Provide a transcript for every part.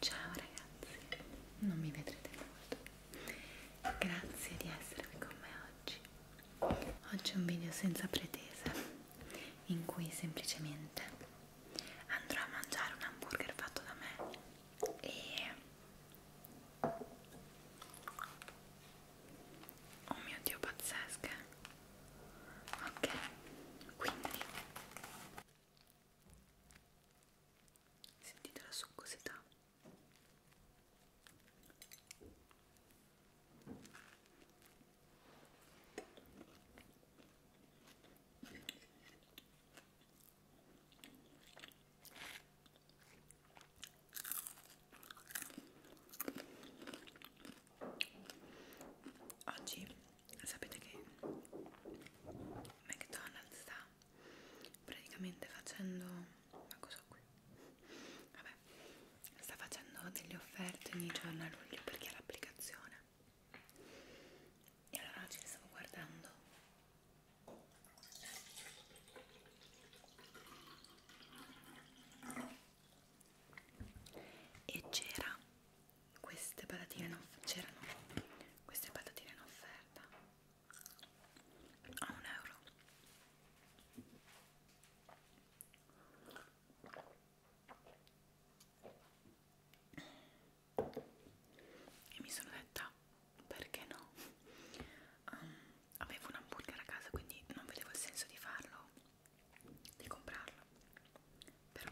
Ciao ragazzi, non mi vedrete molto. Grazie di essere qui con me oggi. Oggi è un video senza pretese in cui semplicemente andrò a mangiare un hamburger fatto da me e oh mio dio pazzesche ok quindi sentite la succosità oggi sapete che McDonald's sta praticamente facendo ma cosa qui? Vabbè, sta facendo delle offerte ogni giorno a luglio perché è l'applicazione e allora oggi le stavo guardando e c'era queste patatine c'erano queste patatine in offerta a un euro e mi sono detta perché no um, avevo un hamburger a casa quindi non vedevo il senso di farlo di comprarla però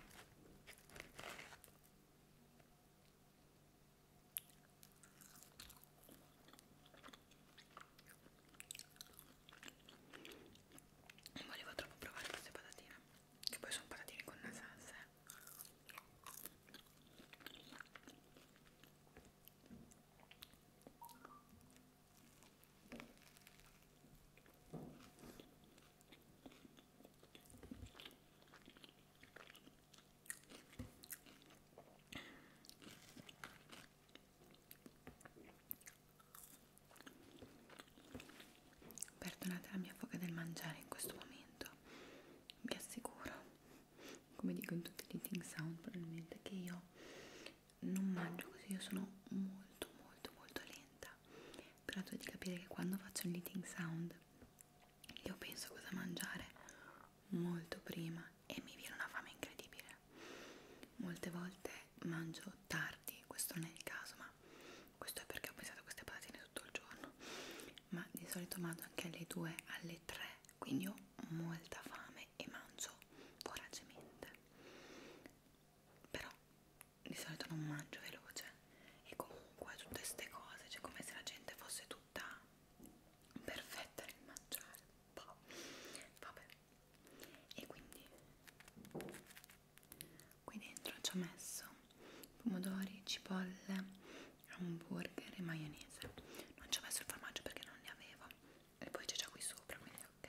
non volevo troppo provare queste patatine che poi sono patatine con una salsa eh. Perdonate la mia foga del mangiare in questo momento, vi assicuro, come dico in tutti gli eating sound probabilmente, che io non mangio così, io sono molto molto molto lenta. Però tu di capire che quando faccio un eating sound io penso cosa mangiare molto prima e mi viene una fame incredibile. Molte volte mangio tardi, questo non è il caso, ma questo è perché ho pensato a queste patatine tutto il giorno. Ma di solito mangio anche alle 2, alle 3, quindi ho molta fame e mangio voracemente però di solito non mangio veloce e comunque tutte queste cose cioè come se la gente fosse tutta perfetta nel mangiare boh. vabbè e quindi qui dentro ci ho messo pomodori, cipolle, hamburger e maionese non ci ho messo il formaggio perché non ne avevo e poi c'è già qui sopra quindi ok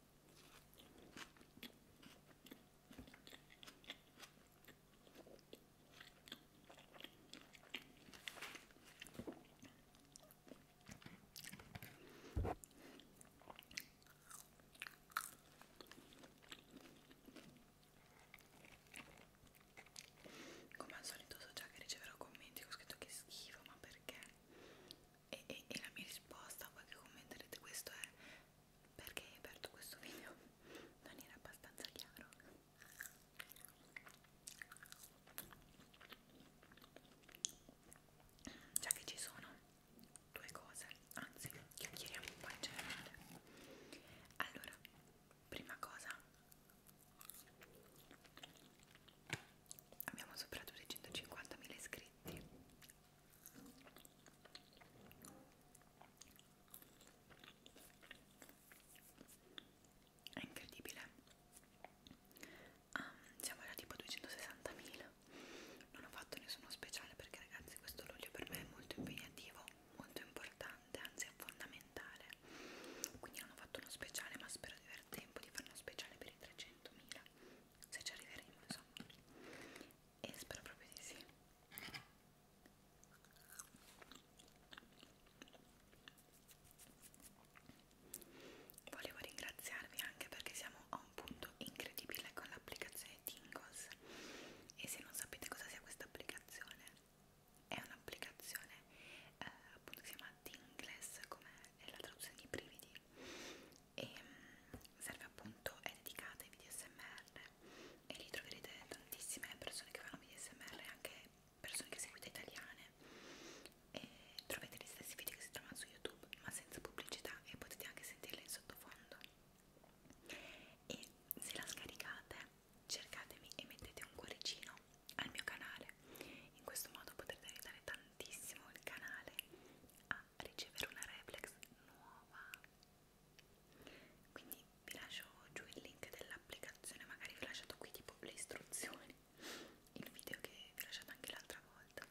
Come al solito so già che riceverò commenti, ho scritto che schifo, ma perché? E, e, e la mia risposta a voi che commenterete questo è perché hai aperto questo video non era abbastanza chiaro già che ci sono due cose anzi chiacchieriamo un po' in generale allora prima cosa abbiamo superato i 150.000 iscritti è incredibile ah, siamo alla tipo 260.000 non ho fatto nessuno speciale perché ragazzi questo luglio per me è molto impegnativo molto importante anzi è fondamentale quindi non ho fatto uno speciale ma spero di aver tempo di fare uno speciale per i 300.000 se ci arriveremo insomma e spero proprio di sì volevo ringraziarvi anche perché siamo a un punto incredibile con l'applicazione Tingles e se non sapete cosa sia questa applicazione è un'applicazione eh, appunto che si chiama Tingles come è la traduzione di brividi e mm, serve appunto, è dedicata ai video smr e lì troverete tantissime persone che fanno video smr e anche persone che seguite italiane e trovate gli stessi video che si trovano su youtube ma senza pubblicità e potete anche sentirle in sottofondo e se la scaricate cercatemi e mettete un cuoricino al mio canale in questo modo potrete aiutare tantissimo il canale a a ricevere una reflex nuova quindi vi lascio giù il link dell'applicazione magari vi ho lasciato qui tipo le istruzioni il video che vi ho lasciato anche l'altra volta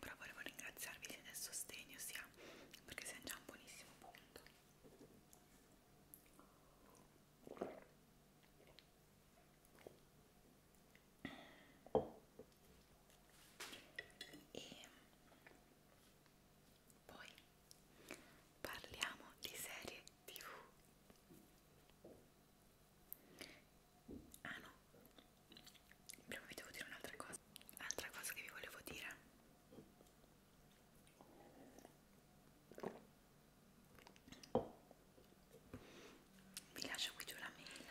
però volevo ringraziarvi del sostegno sia perché siamo già a un buonissimo punto e poi parliamo di serie tv Ah no, prima vi devo dire un'altra cosa. Altra cosa che vi volevo dire. Vi lascio qui giù la mail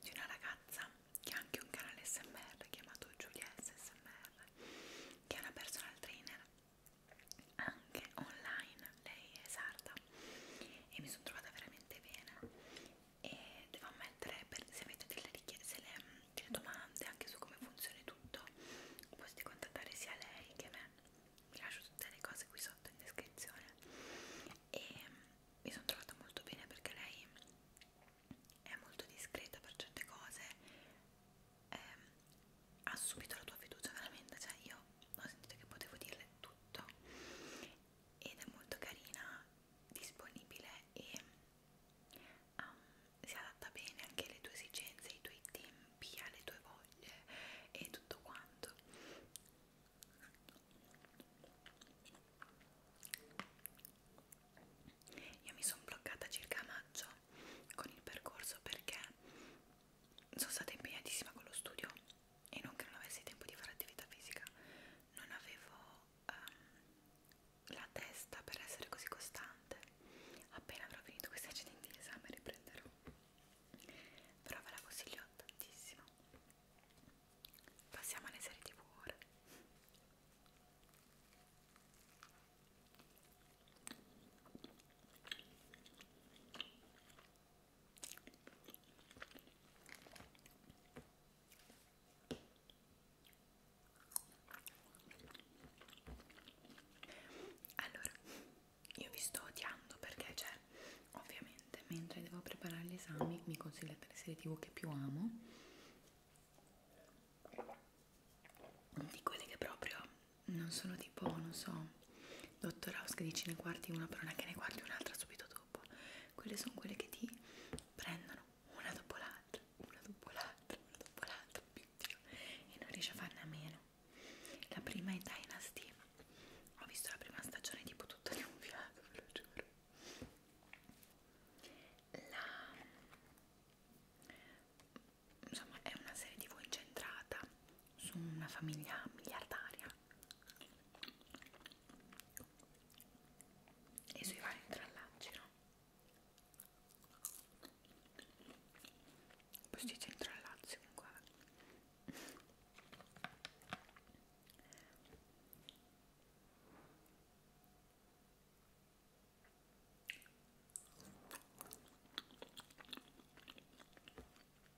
di una ragazza che ha anche un canale SMR chiamato Giulia SMR, che è una personal trainer anche online lei è sarda e mi sono trovata veramente bene e devo ammettere per, se avete delle richieste, le, delle domande anche su come funziona tutto potete contattare sia lei che me vi lascio tutte le cose qui sotto in descrizione e mi sono trovata molto bene perché lei è molto discreta per certe cose eh, ha subito la tua fiducia veramente cioè io ho sentito che potevo dirle tutto ed è molto carina, disponibile e um, si adatta bene anche alle tue esigenze, ai tuoi tempi, alle tue voglie e tutto quanto. Io mi sono bloccata circa a maggio con il percorso perché sono stata impegnatissima con lo studio e non che non avessi tempo di fare attività fisica, non avevo um, la testa per essere così costante. Appena avrò finito questi accidenti di esame riprenderò. Però ve la consiglio tantissimo. Passiamo alle serie tv ora. Allora, io vi sto odiando perché, cioè, ovviamente, mentre devo preparare gli esami, mi consigliate le serie tv che più amo, di quelle che proprio non sono tipo, non so, Dottor House che dici ne guardi una però non è che ne guardi un'altra subito dopo quelle sono quelle che ti prendono una dopo l'altra una dopo l'altra una dopo l'altra e non riesci a farne a meno la prima è Dynasty ho visto la prima stagione tipo tutta di un fiato ve lo giuro la... insomma è una serie tv incentrata su una famiglia miliardaria e i suoi vari intrallacci, no? Poi si dice intrallacci comunque.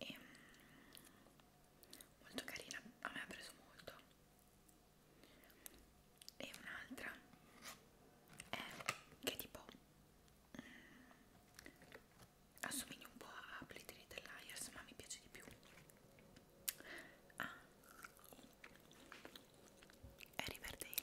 e mm, molto carina a me ha preso molto e un'altra è che tipo mm, assomiglia un po' a Plitteri dell'Aias ma mi piace di più ah è Riverdale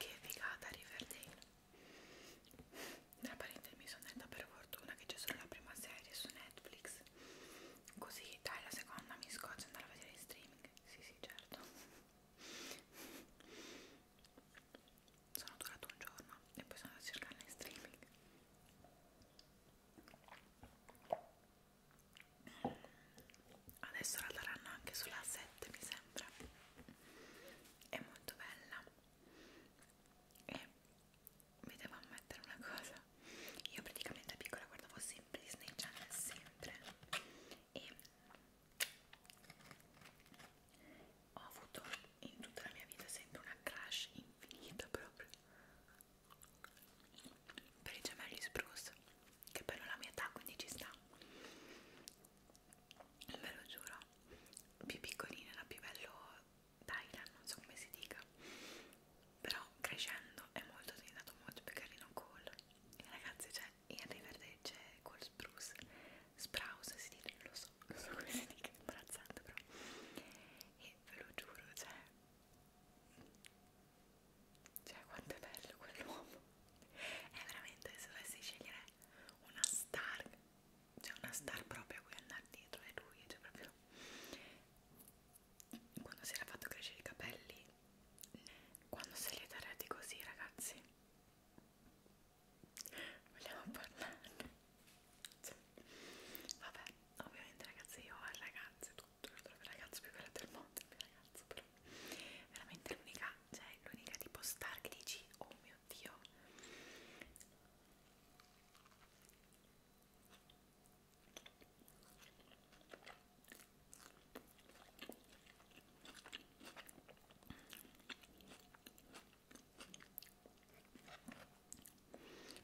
Che figata Riverdale Tra parentesi mi sono detta per fortuna che c'è solo la prima serie su Netflix Così dai la seconda mi scoccio andare a vedere in streaming Sì sì certo sono durato un giorno e poi sono andata a cercarla in streaming adesso la daranno anche sulla 7 mi sembra è molto bella e mi devo ammettere una cosa io praticamente da piccola guardavo sempre Disney Channel sempre e ho avuto in tutta la mia vita sempre una crash infinita proprio per i gemelli spruce che però la mia età quindi ci sta ve lo giuro più piccolina era più bello Dylan non so come si dica però crescendo è molto diventato molto più carino Cole e ragazzi cioè in Riverdale c'è Cole Spruce Sprouse si dice, non lo so, non so come si dica, è imbarazzante però e ve lo giuro, cioè cioè quanto è bello quell'uomo è veramente, se dovessi scegliere una star cioè una star proprio a cui andare dietro è lui, cioè proprio quando si era fatto crescere i capelli quando se li darete così ragazzi vogliamo parlarne cioè, vabbè ovviamente ragazzi io ho il ragazzo tutto lo trovo il ragazzo più bello del mondo il mio ragazzo però veramente l'unica cioè l'unica tipo star che dici oh mio dio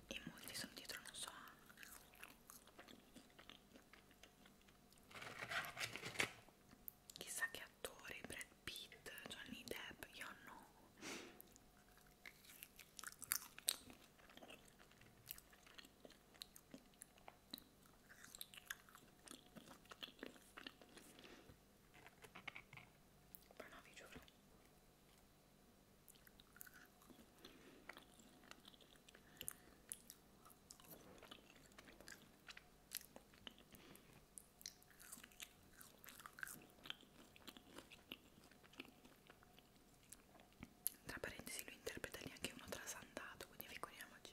e molti sono dietro non so chissà che attori Brad Pitt Johnny Depp io no ma no, vi giuro. Tra parentesi, lui interpreta lì anche uno trasandato, quindi figuriamoci.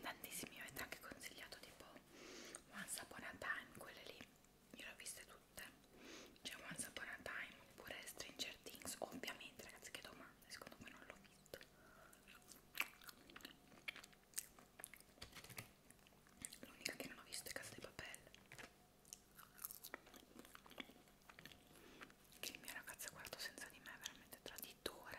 tantissimi mi avete anche consigliato tipo Once Upon a Time quelle lì io le ho viste tutte c'è cioè Once Upon a Time oppure Stranger Things ovviamente ragazzi che domande secondo me non l'ho visto L'unica che non ho visto è Casa di Papelle. Che il mio ragazzo ha guardato senza di me è veramente traditore.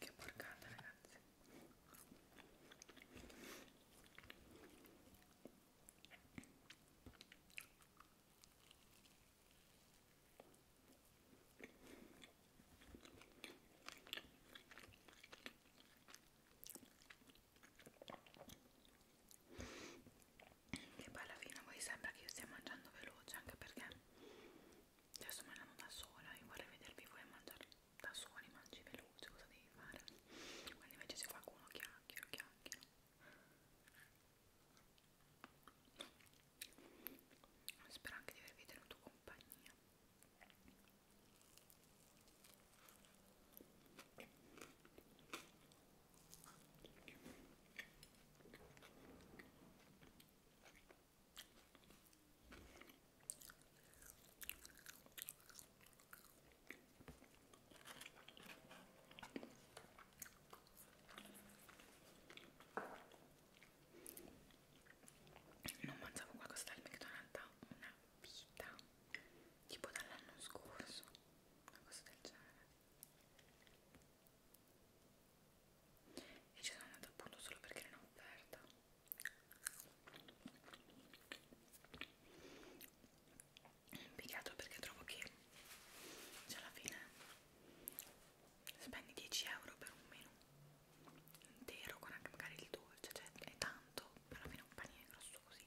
Che porcata ragazzi e poi alla fine poi sembra che io stia mangiando veloce anche perché adesso mangiamo da sola e vorrei vedervi voi a mangiare da soli, mangi veloce, cosa devi fare? Quando invece se qualcuno chiacchiera, chiacchiera. Spero anche di avervi tenuto compagnia. Non mangiavo qualcosa dal McDonald's da una vita, tipo dall'anno scorso, una cosa del genere. E ci sono andata appunto solo perché era in offerta impiegato perché trovo che cioè alla fine spendi 10 euro per un menù intero con anche magari il dolce cioè è tanto però alla fine un panino grosso così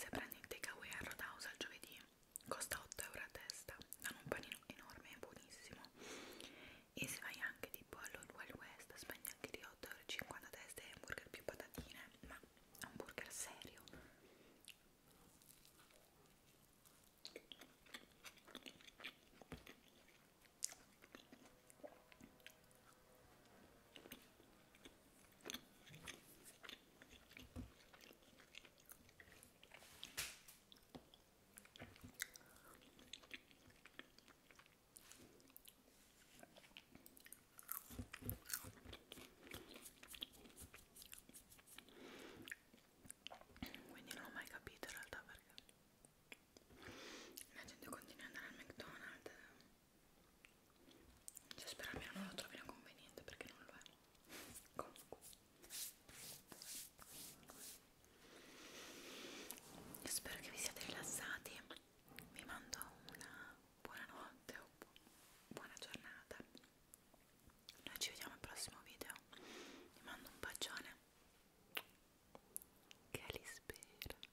se prendi il takeaway a Roadhouse al giovedì costa 8 euro a testa, hanno un panino enorme e buonissimo e se vai anche tipo all'Old Wild West spendi anche di 8,50 euro a testa e hamburger più patatine, ma hamburger serio quindi non ho mai capito in realtà perché la gente continua ad andare al McDonald's cioè spero almeno non lo trovino conveniente perché non lo è comunque io spero che vi siate rilassati vi mando una buonanotte o buona giornata noi ci vediamo al prossimo video vi mando un bacione che li spera